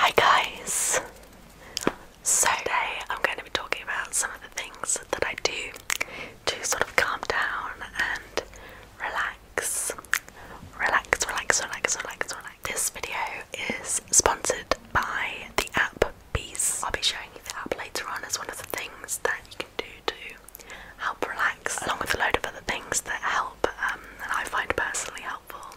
Hi guys! So today I'm going to be talking about some of the things that I do to sort of calm down and relax. Relax, relax, relax, relax, relax. This video is sponsored by the app Bees. I'll be showing you the app later on as one of the things that you can do to help relax, along with a load of other things that help um, and I find personally helpful.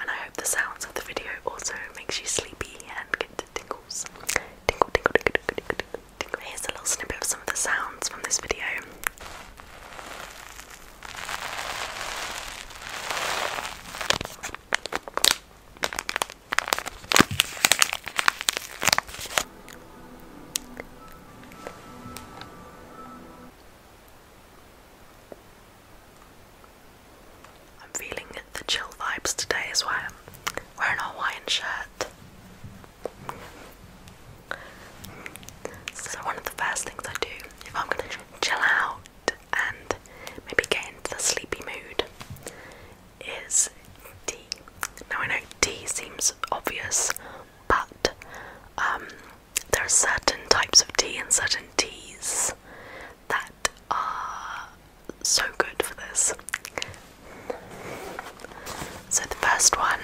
And I hope the sounds of the video also makes you sleepy and get tingles. Tingle, tingle, tingle, tingle, tingle, tingle, tingle. Here's a little snippet of some of the sounds from this video. I'm feeling the chill vibes today as well. Wearing a Hawaiian shirt. So one of the first things I do if I'm gonna chill out and maybe get into the sleepy mood is tea. Now I know tea seems obvious, but um, there are certain types of tea and certain teas that are so good for this. So the first one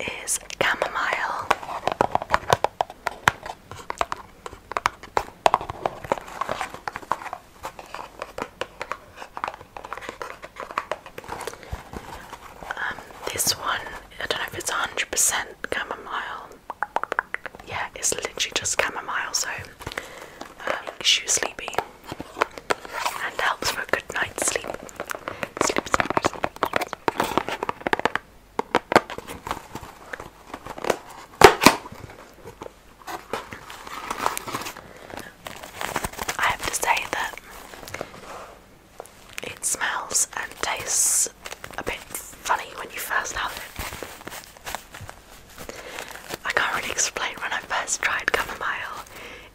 is chamomile. Um, this one, I don't know if it's 100% chamomile. Yeah, it's literally just chamomile, so it's makes you sleepy and helps for a good night's sleep. sleep. I have to say that it smells and tastes a bit funny when you first have it. I can't really explain when I first tried chamomile.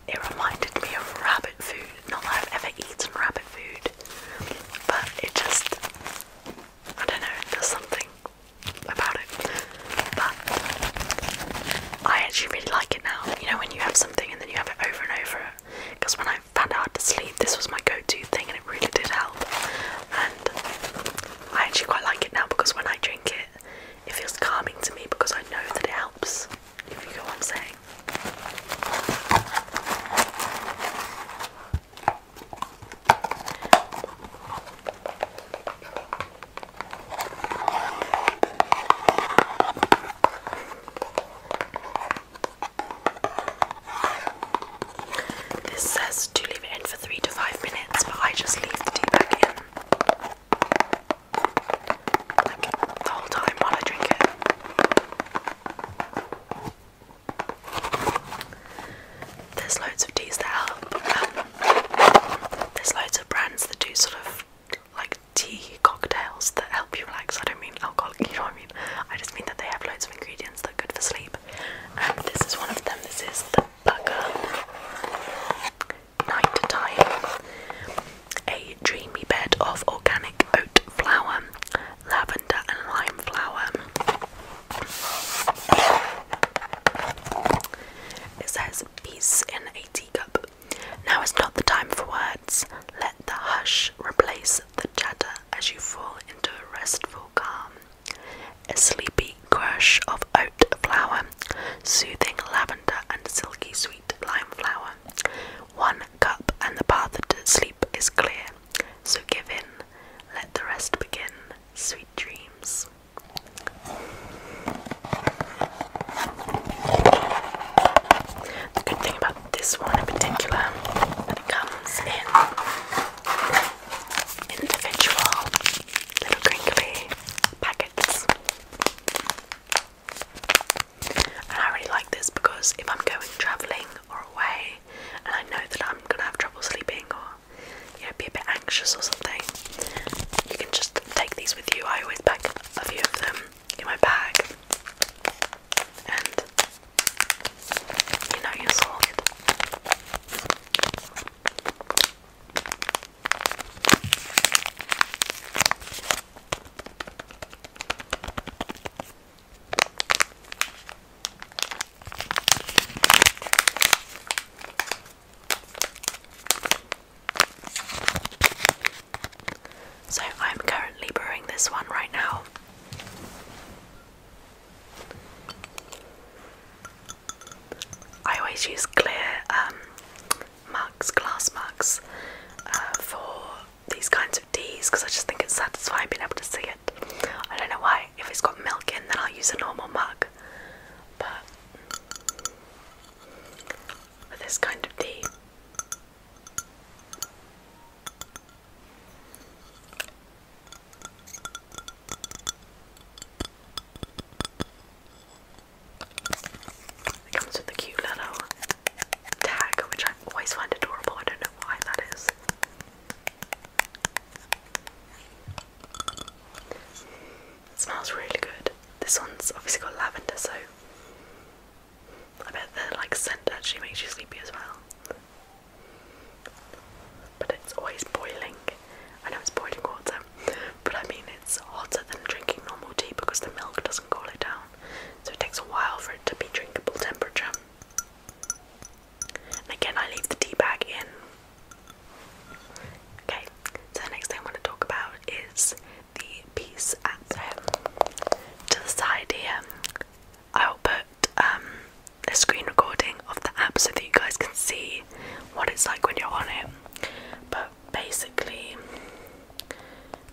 It reminded me of rabbit food. Not that I've ever eaten rabbit food, but it just, I don't know, there's something about it. But I actually really like it now. You know, when you have something and then you have it over and over because when I found out to sleep, this was my go-to thing, and it really did help. And I actually quite like it now because when I drink it, it feels calming to me because I know that it helps. If you know what I'm saying. This says to leave it in for three to five minutes, but I just leave the tea bag in the whole time while I drink it. There's loads of teas that help. Um, there's loads of brands that do sort of like tea cocktails that help you relax. I don't mean alcoholic, you know what I mean? I just mean that they have loads of ingredients that are good for sleep. And this is one of them. This is the Bugger Night A dreamy bed of organic oat flour, lavender and lime flower. It says peace in a teacup now is not the time for words. Let the hush replace the chatter as you fall into a restful calm. A sleepy crush of oat flour, soothing lavender and silky sweet lime flower. One cup and the path to sleep is clear. So give in, let the rest begin. Sweet dreams. The good thing about this one in particular, that it comes in individual little crinkly packets. And I really like this because if I'm going travelling or away and I know that I'm gonna have trouble sleeping or you know be a bit anxious or something, you can just take these with you. I always pack a few of them in my bag and you know you saw it. So I'm currently brewing this one right now. I always use clear um, mugs, glass mugs, uh, for these kinds of teas because I just think it's satisfying being able to see it. I don't know why. If it's got milk in, then I'll use a normal mug. But for this kind of tea, it comes with a cute little tag, which I always find adorable. I don't know why that is. smells really good. This one's obviously got lavender, so I bet that like scent actually makes you sleepy as well. But it's always boiling. I know it's boiling water, but I mean it's hotter than drinking normal tea because the milk doesn't cool it down. So it takes a while for it to be drinkable temperature. again, I leave the tea bag in. Okay, so the next thing I want to talk about is the piece at To the side here, I'll put um, a screen recording of the app so that you guys can see what it's like when you're on it. But basically,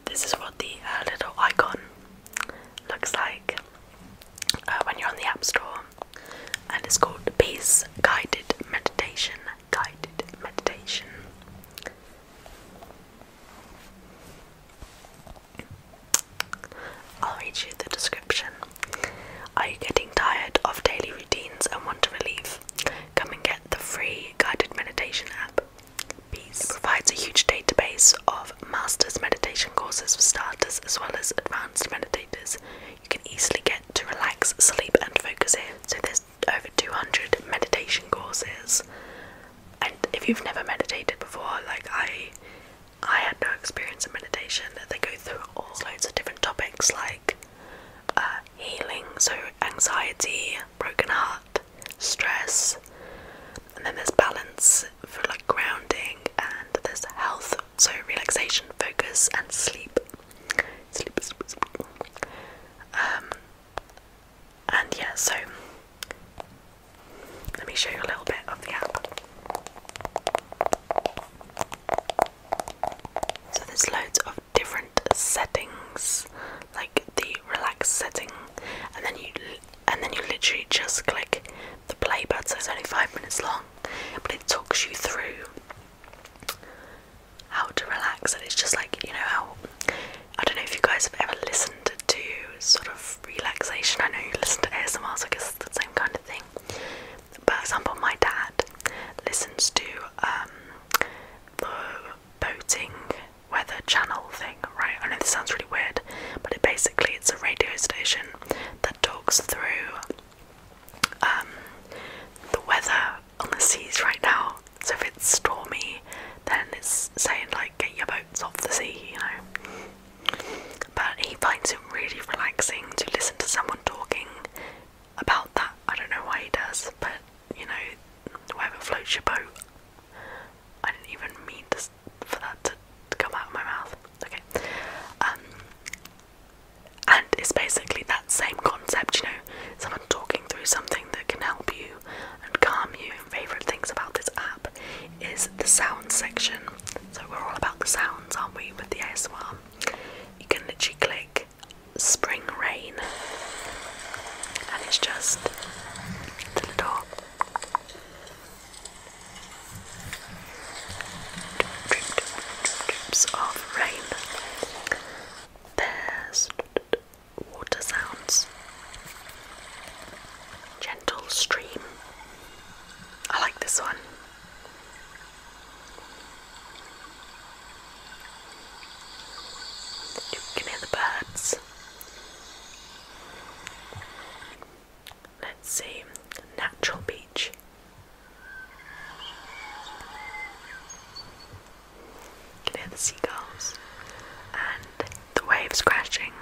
this is what the uh, little icon looks like uh, when you're on the App Store, and it's called Peace Guided Meditation. Guided Meditation. I'll read you the description. Are you getting tired of daily routines and want to relieve? Come and get the free guided meditation app. Peace. provides a huge database of master's meditation courses for starters as well as advanced meditators. You can easily get to relax, sleep, and focus here. So there's over 200 meditation courses and if you've never meditated before like i i had no experience in meditation they go through all loads of different topics like uh, healing so anxiety broken heart stress and then there's balance for like grounding and there's health so relaxation focus and sleep um, and yeah, so let me show you a little bit of the app. So there's loads of different settings, like the relax setting, and then you and then you literally just click the play button. So it's only five minutes long, but it talks you through how to relax, and it's just like you know how I don't know if you guys have ever listened to sort of relaxation. I know you listen to ASMR, so I guess it's the same kind of thing. But for example, my dad listens to um, the boating weather channel thing, right? I know this sounds really weird, but it basically it's a radio station that talks through um, the weather on the seas right now so if it's stormy, then it's saying like get your boats off the sea, you know. But he finds it really relaxing to listen to someone talking about that. I don't know why he does, but you know, whatever floats your boat. I didn't even mean for that to, come out of my mouth. Okay. Um, and it's basically that same concept, you know, someone talking through something that can help you and calm you favorite things about this app is the sound section. So we're all about the sounds, aren't we, with the AS1, You can literally click spring rain and it's just the little drips of rain. There's water sounds. Gentle stream. I like this one. You can hear the birds. Let's see, natural beach. You the seagulls and the waves crashing.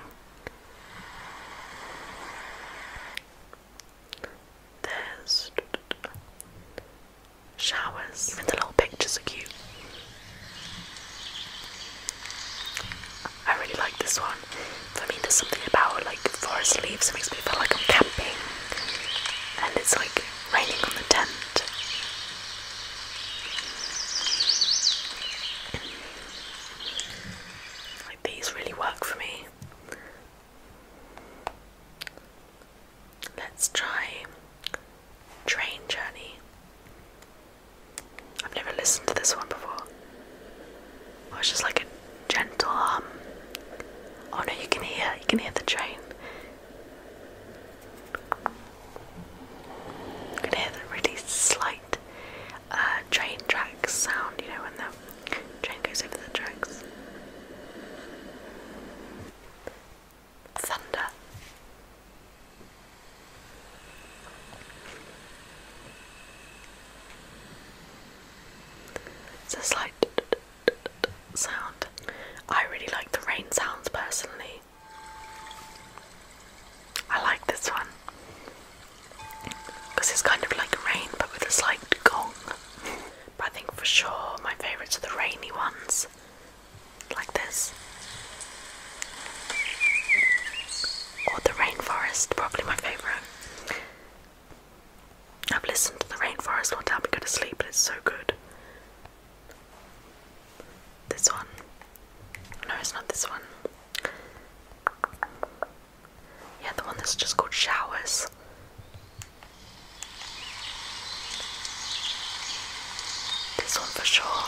There's showers. Even the little pictures are cute. I really like this one. For me, there's something about like forest leaves that makes me feel like I'm camping, and it's like raining on the tent these really work for me. Let's try Train Journey. I've never listened to this one before. Oh, it's just like a gentle hum. Oh no, you can hear, you can hear the train can hear the really slight uh, train track sound, you know, when the train goes over the tracks. Thunder. It's a slight sound. I really like the rain sounds personally. I like this one because it's kind of like rain but with a slight gong. but I think for sure my favourites are the rainy ones, like this, or the rainforest. Probably my favourite. I've listened to the rainforest one time to go to sleep, and it's so good. This one. No, it's not this one. Yeah, the one that's just called Showers. This one for sure.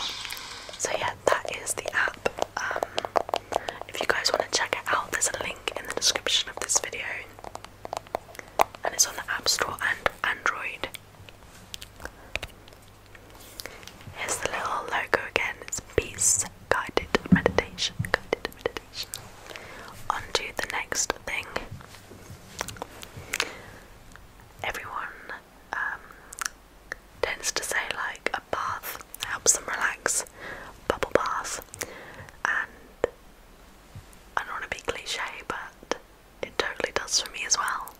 So, yeah, that is the app. Um, if you guys want to check it out, there's a link in the description of this video. And it's on the App Store and Android. Here's the little logo again. It's peace guided meditation. Guided meditation. On to the next thing. Everyone um, tends to say like a bath helps them relax, bubble bath, and I don't want to be cliche, but it totally does for me as well.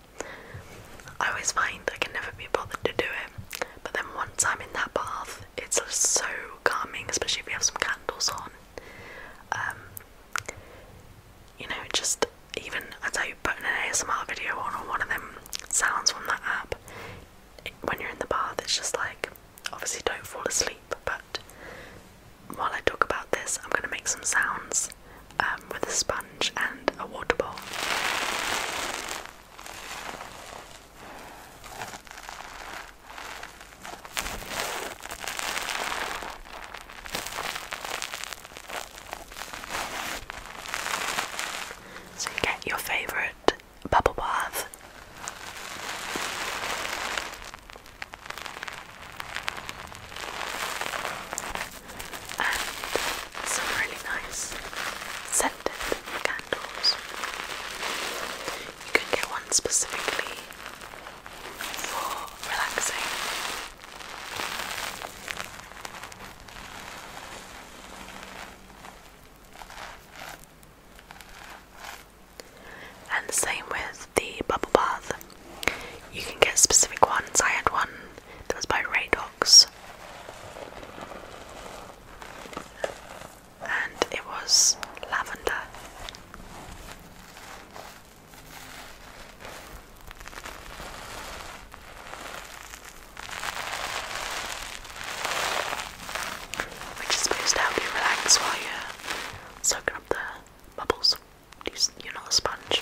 I always find I can never be bothered to do it, but then once I'm in that bath, it's just so calming, especially if you have some candles on. Um, you know, just even I as I put an ASMR video on or one of them sounds from that app, when you're in the bath, it's just like obviously don't fall asleep, but while I talk about this, I'm going to make some sounds um, with a sponge and a water bowl. So you get your favourite bubble bath and some really nice scented candles. You can get one specifically for relaxing. And the same with the bubble bath. You can get specific ones. I had one that was by Radox, and it was lavender. Which is supposed to help you relax while you're up the bubbles. You're not a sponge.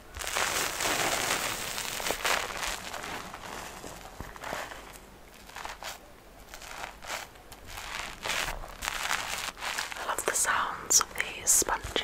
I love the sounds of these sponges.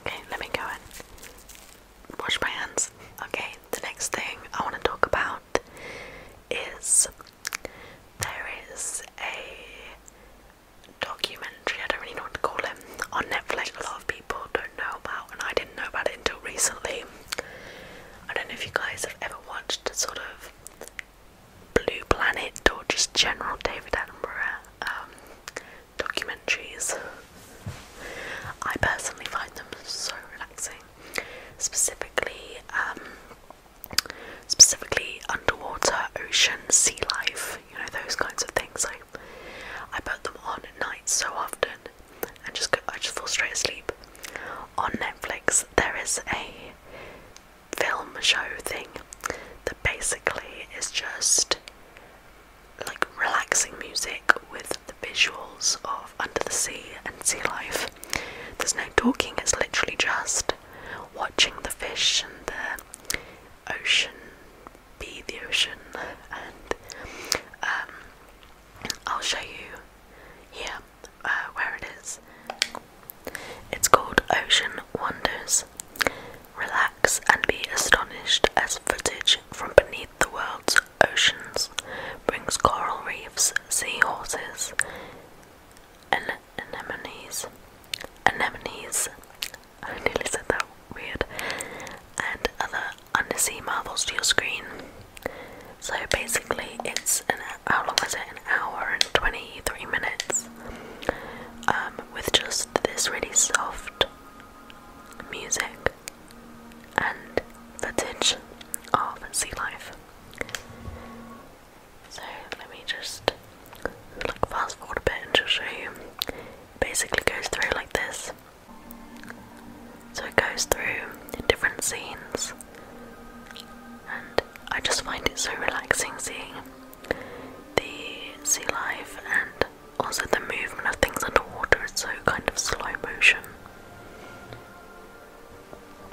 Okay, let me go and wash my hands. Okay, the next thing I want to talk about is there is a documentary, I don't really know what to call it, on Netflix a lot of people don't know about and I didn't know about it until recently. I don't know if you guys have ever watched sort of Blue Planet or just general David Attenborough um, documentaries. I personally find them so relaxing, specifically, um, specifically underwater, ocean, sea life. You know those kinds of things. I I put them on at night so often, and just go, I just fall straight asleep on Netflix, there is a film show thing that basically is just like relaxing music with the visuals of under the sea and sea life. There's no talking, it's literally just watching the fish and the ocean be the ocean. And um, I'll show you here uh, where it is. It's called Ocean Wonders. Relax and be astonished as footage from beneath the world's oceans brings coral reefs, seahorses, an anemones, anemones. I nearly said that weird, and other undersea marvels to your screen. So basically, it's an how long is it? An hour and twenty-three minutes, um, with just this really soft music and footage of sea life. So let me just look fast forward a bit and just show you. basically goes through like this. So it goes through different scenes and I just find it so relaxing seeing the sea life and also the movement of things underwater. It's so kind of slow motion.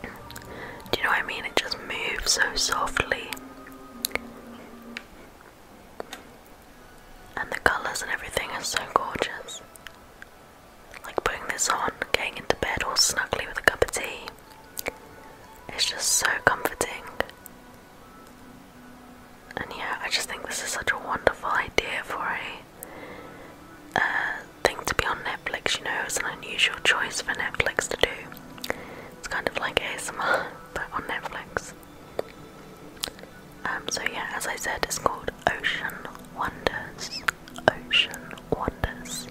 Do you know what I mean? It just moves so softly. And the colours and everything are so gorgeous. Like putting this on, getting into bed all snuggly with a cup of tea. It's just so comforting. And yeah, I just think this is such a wonderful idea for a uh, thing to be on Netflix, you know, it's an unusual choice for Netflix to do. It's kind of like ASMR, but on Netflix. Um, so yeah, as I said, it's called Ocean Wonders. Ocean Wonders.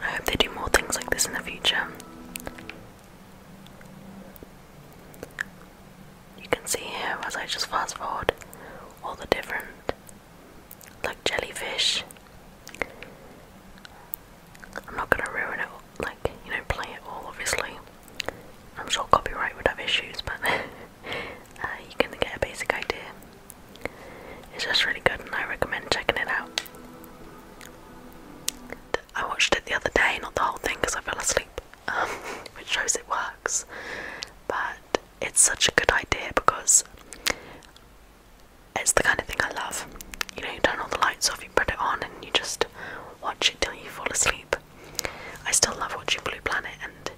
I hope they do more things like this in the future. You can see here as I just fast forward all the different like jellyfish. I'm not gonna ruin it, like, you know, play it all obviously. I'm sure copyright would have issues, but uh, you can get a basic idea. It's just really good, and I recommend checking it out. I watched it the other day, not the whole thing because I fell asleep, um, which shows it works. But it's such a good idea because it's the kind of thing I love. You know, you turn all the lights off, you put it on, and you just watch it till you fall asleep. I still love watching Blue Planet, and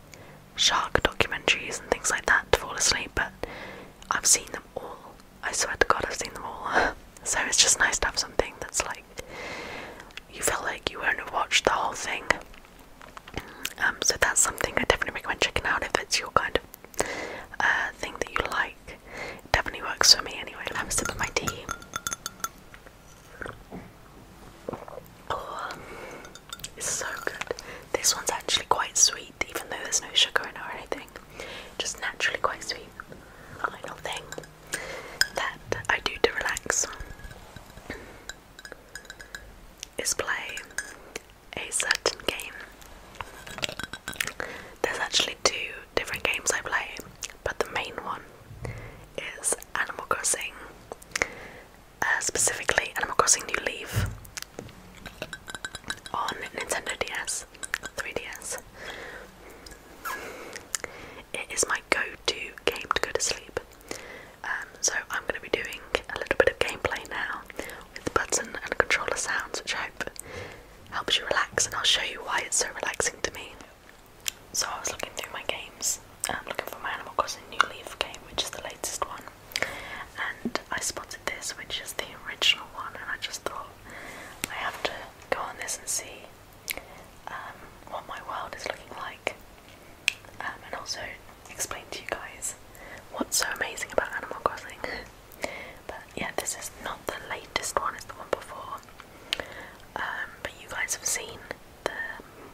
shark documentaries and things like that to fall asleep, but I've seen them all. I swear to God, I've seen them all. so it's just nice to have something that's like you feel like you only watched the whole thing. Um, so that's something I definitely recommend checking out if it's your kind of uh, thing that you like. definitely works for me anyway. I'll have a sip of my tea. Oh, it's so good. This one's actually quite sweet, even though there's no sugar in it or anything. Just naturally quite sweet. Final thing that I do to relax is play a certain game. There's actually two different games I play, but the main one is Animal Crossing. Uh, specifically, and I'm Crossing New Leaf on Nintendo DS, 3DS. It is my go-to game to go to sleep. Um, so I'm going to be doing a little bit of gameplay now with the button and controller sounds, which I hope helps you relax, and I'll show you why it's so relaxing to me. So I was looking through my games I'm looking for my Animal Crossing New Leaf game, which is the latest one. And I spotted this, which is the original one, and I just thought I have to go on this and see um, what my world is looking like, um, and also explain to you guys what's so amazing about Animal Crossing. but yeah, this is not the latest one; it's the one before. Um, but you guys have seen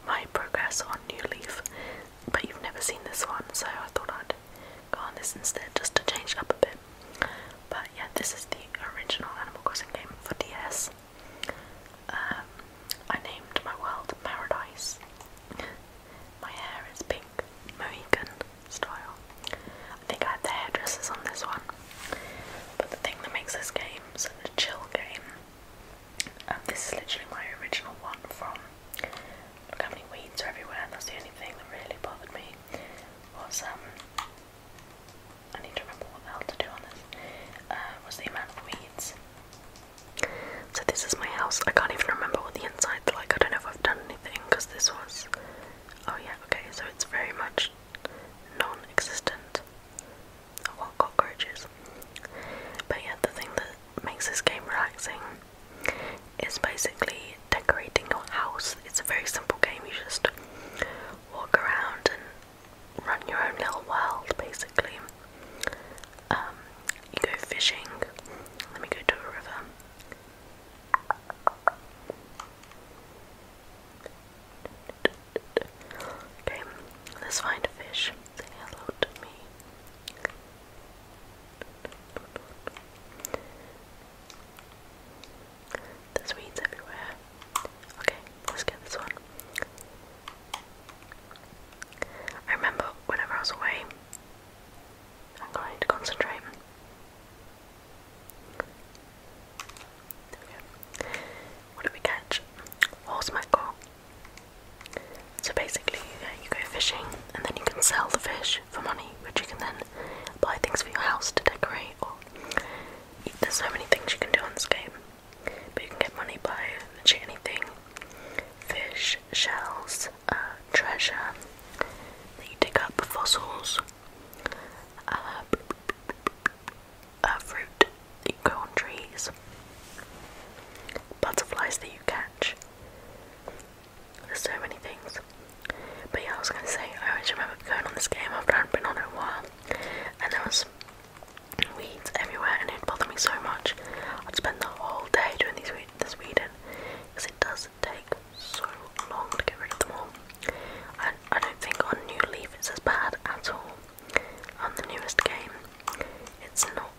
my progress on New Leaf, but you've never seen this one, so I thought I'd go on this instead just to change up a bit. But yeah, this is the original Animal Crossing game for DS. Um, I named my world Paradise. my hair is pink, Mohican style. I think I had the hairdressers on this one. But the thing that makes this game such a chill game um, this is literally my original one from. Look how many weeds are everywhere. That's the only thing that really bothered me. Was um, I need to remember what the hell to do on this. Uh, was the amount of weeds. So this is my house. I can't even remember what the inside's like. I don't know if I've done anything because this was. Oh yeah, okay. So it's very much non-existent. Oh cockroaches. But yeah, the thing that makes this game relaxing It's basically decorating your house. It's a very simple game, you just walk around and run your own little world basically. Um, you go fishing. Let me go to a river. Okay, let's find a fish. Say hello to me. There's weeds everywhere. Okay, let's get this one. I remember whenever I was away, I'm going to concentrate. What did we catch? Horse mackerel. So basically, you go fishing and then you can sell the fish for money, which you can then buy things for your house to decorate. Or there's so many things you can do on this game, but you can get money by literally anything: fish, shells, uh, treasure that you dig up, fossils, uh, uh, fruit. You go on trees butterflies that you catch. There's so many things. But yeah, I was gonna say, I always remember going on this game after I'd been on it a while, and there was weeds everywhere, and it bothered me so much. I'd spend the whole day doing these weeds, this weeding, because it does take so long to get rid of them all. I, I don't think on New Leaf it's as bad at all. On the newest game, it's not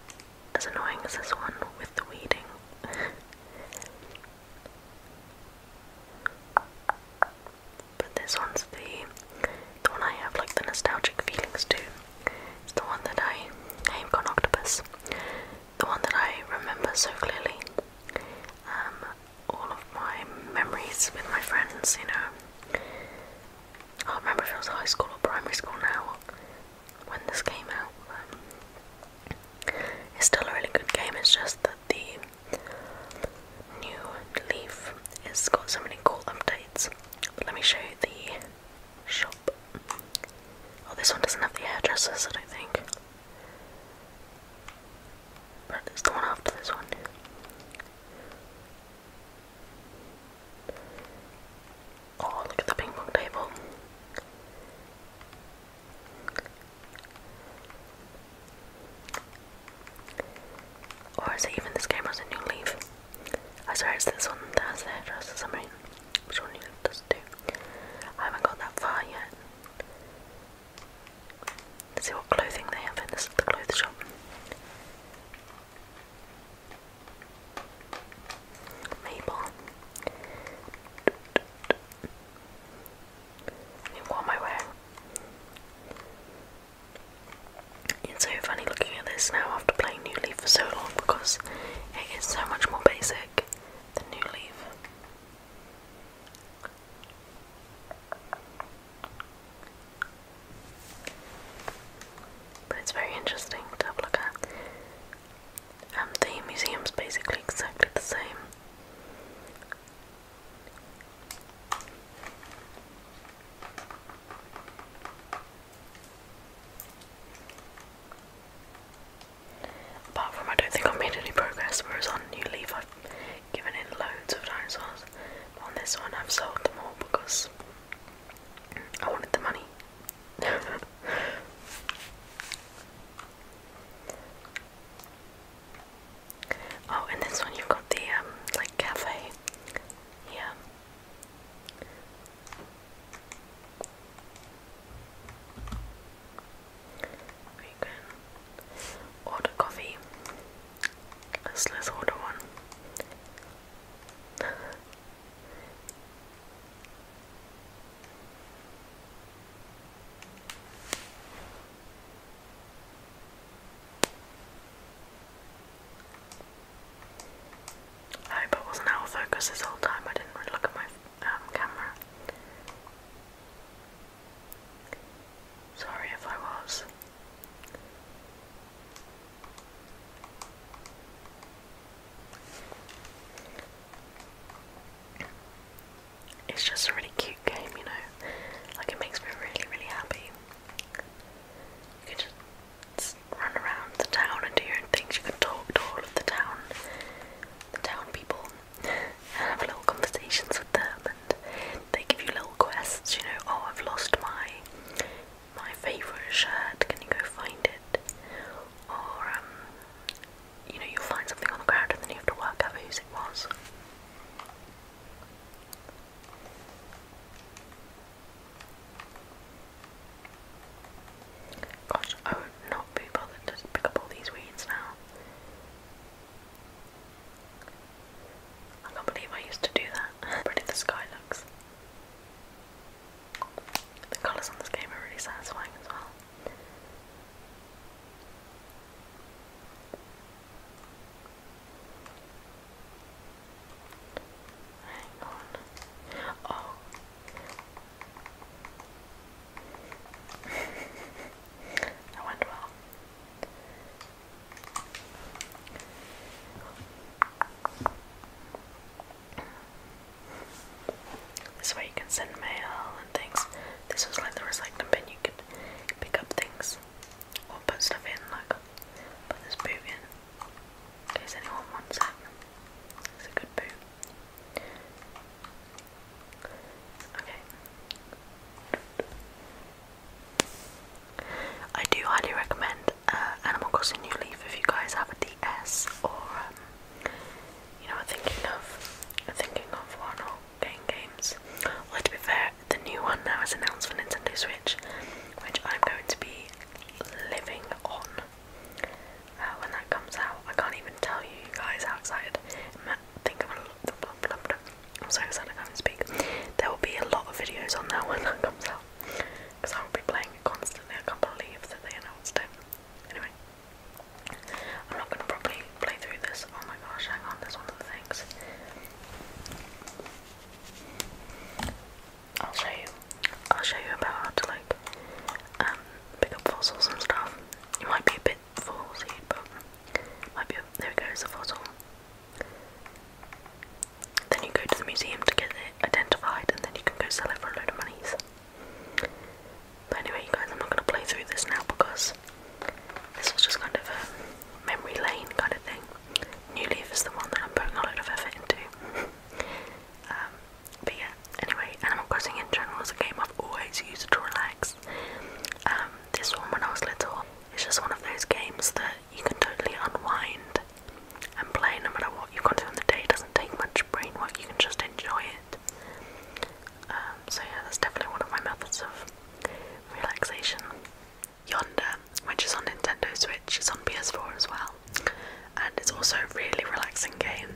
as annoying as this one with the weeding. but this one's the the one I have like the nostalgic feelings to. It's the one that I I've got octopus. The one that I remember so clearly. Um, all of my memories with my friends, you know. I remember if it was high school or primary school now when this came out. it's still a really good game, it's just that the new Leaf has got so many cool updates. let me show you the shop. Oh, this one doesn't have the hairdressers, I don't think. But it's the one after this one. Oh, look at the ping pong table. Or is it even this game has a new leaf? I swear it's this one that has the hairdresser submarine. Which one does it do? I haven't got that far yet. Let's see what clothing they have in this the clothes shop. Maple. what am I wearing? It's so funny looking at this now after playing New Leaf for so long because it is so much more basic than New Leaf but it's very interesting to have a look at. Um, the museum's basically exactly the same. Apart from, I don't think i made any progress, whereas on New Leaf I've given in loads of dinosaurs. on this one, I've sold them all because I wanted the money. oh, and this one you've got the um, like cafe. Yeah. We can order coffee. Let's let's order one. I hope I wasn't out of focus this whole time. I didn't really look at my um, camera. Sorry if I was. It's just a really cute game, you know. Like it makes me really, really happy. You can just run around the town and do your own things. You can talk to all of the town, the town people, and have little conversations with them. And they give you little quests. You know, oh, I've lost my my favourite shirt, can you go find it? Or, um, you know, you'll find something on the ground and then you have to work out whose it was. Gosh, I would not be bothered to pick up all these weeds now. I can't believe I used to do that. Pretty the sky looks. The colours on this game are really satisfying as well. Hang on. Oh. that went well. This way you can send mail and things. This was like the recycling bin, you could pick up things or put stuff in, like put this boot in, in anyone wants it. It's a good boot. Okay. I do highly recommend uh, Animal Crossing New Leaf if you guys have a DS or um, you know thinking of thinking of one or getting games. Well, to be fair, the new one now is announced for Nintendo Switch, which I'm going to be living on uh, when that comes out. I can't even tell you, you guys how excited. Think of I'm so excited I can't speak. There will be a lot of videos on that when that comes out because I will be playing it constantly. I can't believe that they announced it. Anyway, I'm not going to probably play through this. Oh my gosh, hang on, there's one of the things. I'll show you. I'll show you about how to like um, pick up fossils and stuff. It might be a bit fossil, but might be. A, there it goes, a fossil. Then you go to the museum to get it identified, and then you can go sell it for a load of money. But anyway, guys, I'm not going to play through this now because this was just kind of a memory lane kind of thing. New Leaf is the one that I'm putting a load of effort into. Um, but yeah, anyway, Animal Crossing in general is a game I've always used to relax. Um, this one, when I was little, it's just one of those games that you can totally unwind and play no matter what you've got to on the day. doesn't take much brain work, you can just enjoy it. Um, so, yeah, that's definitely one of my methods of relaxation. Yonder, which is on Nintendo Switch, is on PS4 as well, and it's also a really relaxing game.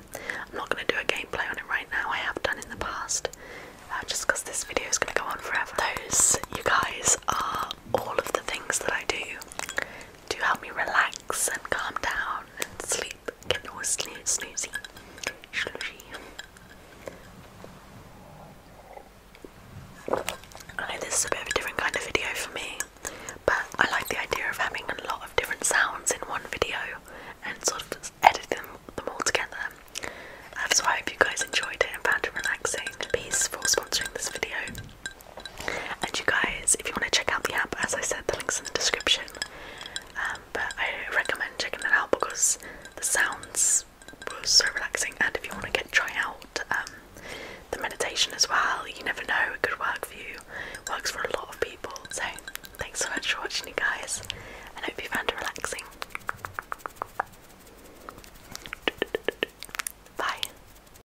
I'm not going to do a gameplay on it right now, I have done in the past, uh, just because this video is going to go on forever. Those, you guys, are all of the things that I do to help me relax and calm down and sleep. Get no sleep, snoozy, slushy. I know this is a bit of a different kind of video for me, but I like the idea of having a lot of different sounds in one video and sort of editing them, all together. so I hope you guys enjoyed it and found it relaxing. Peace for sponsoring this video. And you guys, if you want to check out the app, as I said, the link's in the description. Um, but I recommend checking that out because the sounds were so relaxing. And if you want to get try out um, the meditation as well, you never know, it could work for you. Works for a lot of people. So thanks so much for watching, you guys, and hope you found it relaxing. Bye.